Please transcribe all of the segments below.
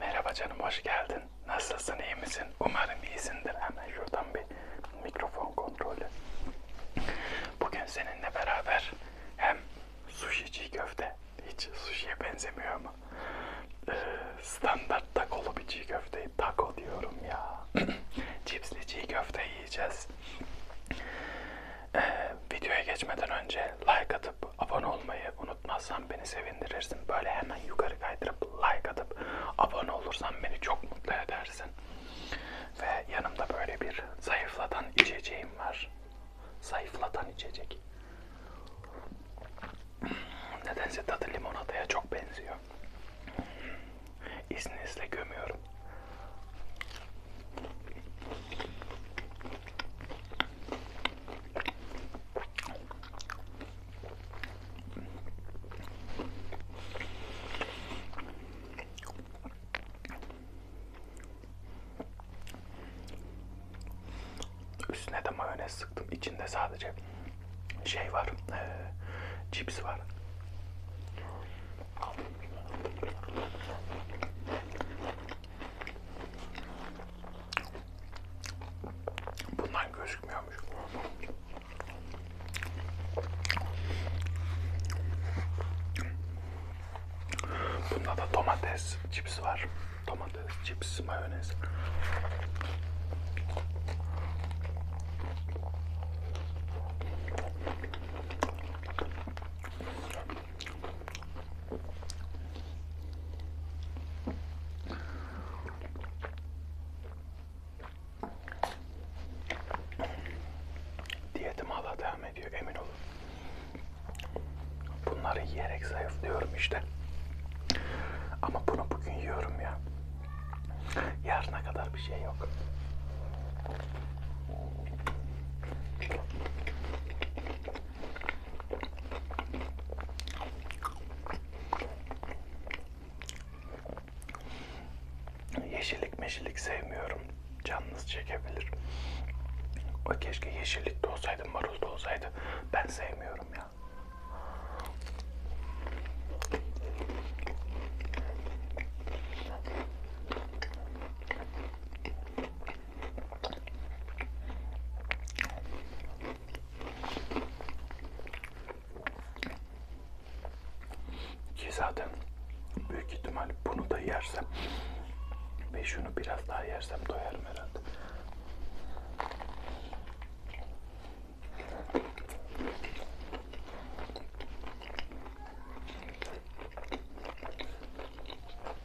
Merhaba canım, hoş geldin. Nasılsın, iyi misin? Umarım iyisindir. Hemen şuradan bir mikrofon kontrolü. Bugün seninle beraber hem sushi çiğ köfte, hiç sushi'ye benzemiyor ama ee, standart takolu bir çiğ köfteyi, tako diyorum ya. Cipsli çiğ köfte yiyeceğiz. Ee, videoya geçmeden önce like atıp abone olmayı unutmazsan beni sevindirirsin. Böyle hemen yukarı kaydırıp like atıp abone olursan beni çok mutlu edersin. Ve yanımda böyle bir zayıflatan içeceğim var. Zayıflatan içecek. Nedense tadı limonataya çok benziyor. İzninizle gömüyorum. Üstüne de mayonez sıktım. İçinde sadece şey var. Ee, cips var. Bundan gözükmüyormuş. Bunda da domates cips var. Domates, cips, mayonez. Diyetim hala devam ediyor emin olun. Bunları yiyerek zayıflıyorum işte. Ama bunu bugün yiyorum ya. Yarına kadar bir şey yok. Yeşillik meşillik sevmiyorum. Canınız çekebilir. O keşke yeşillik de olsaydı, marul da olsaydı. Ben sevmiyorum ya. Ki zaten büyük ihtimal bunu da yersem ve şunu biraz daha yersem doyarım herhalde.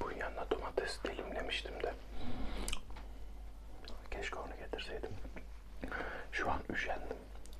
Bu yanına domates dilimlemiştim de. Keşke onu getirseydim. Şu an üşendim.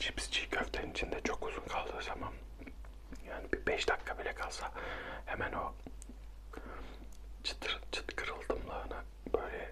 Cips çiğ köftenin içinde çok uzun kaldığı zaman yani bir 5 dakika bile kalsa hemen o çıtır çıt kırıldımlığına böyle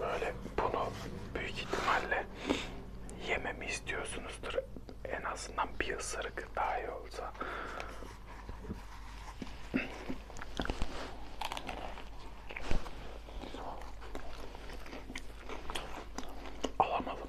Böyle bunu büyük ihtimalle yememi istiyorsunuzdur. En azından bir ısırık daha iyi olsa. Alamadım.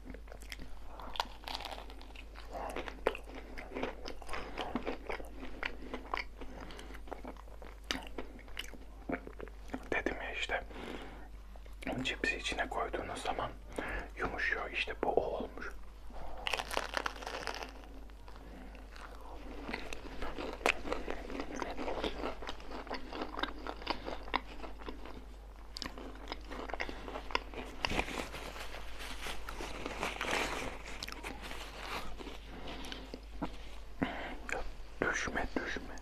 Dedim ya işte cipsi içine koyduğunuz zaman yumuşuyor. İşte bu o olmuş düşme düşme.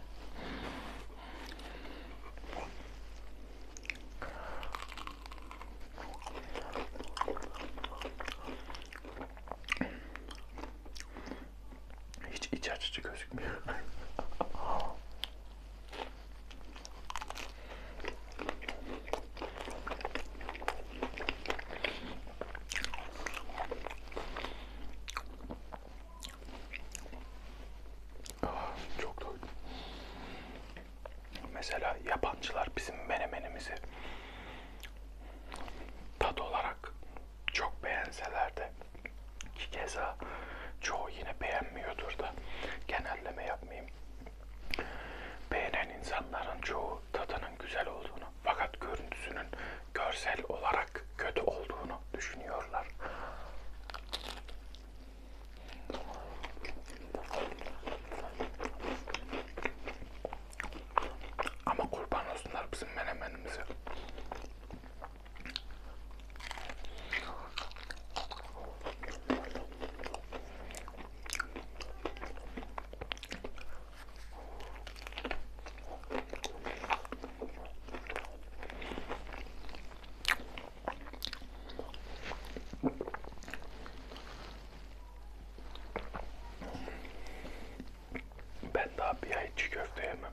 Hiç iç açıcı gözükmüyor. Ah, çok doydum. Mesela yabancılar bizim menemenimizi tat olarak çok beğenseler de ki keza çoğu yine beğenmiyordur da genelleme yapmayayım. Beğenen insanların çoğu tadının güzel olduğunu fakat görüntüsünün görsel olarak kötü olduğunu düşünüyorlar. Ama kurban olsunlar bizim menemenimize. Ben daha bir ay içi köfte yemem.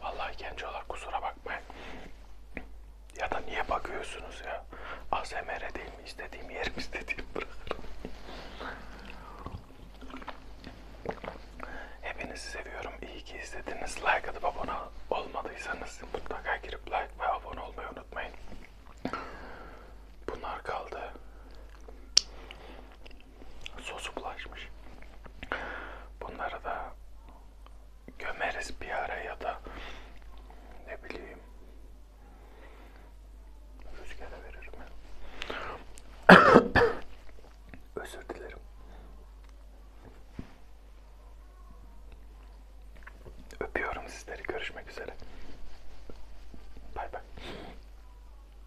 Vallahi gencolar kusura bakmayın. Ya da niye bakıyorsunuz ya? ASMR değil mi? İstediğim yerim istediğim bırakırım. Hepinizi seviyorum. İyi ki izlediniz. Like atıp abone olmadıysanız mutlaka girip like ve abone olmayı unutmayın. Bunlar kaldı sosu bulaşmış. Bunları da gömeriz bir ara ya da ne bileyim rüzgara veririm. Özür dilerim. Öpüyorum sizleri. Görüşmek üzere. Bay bay.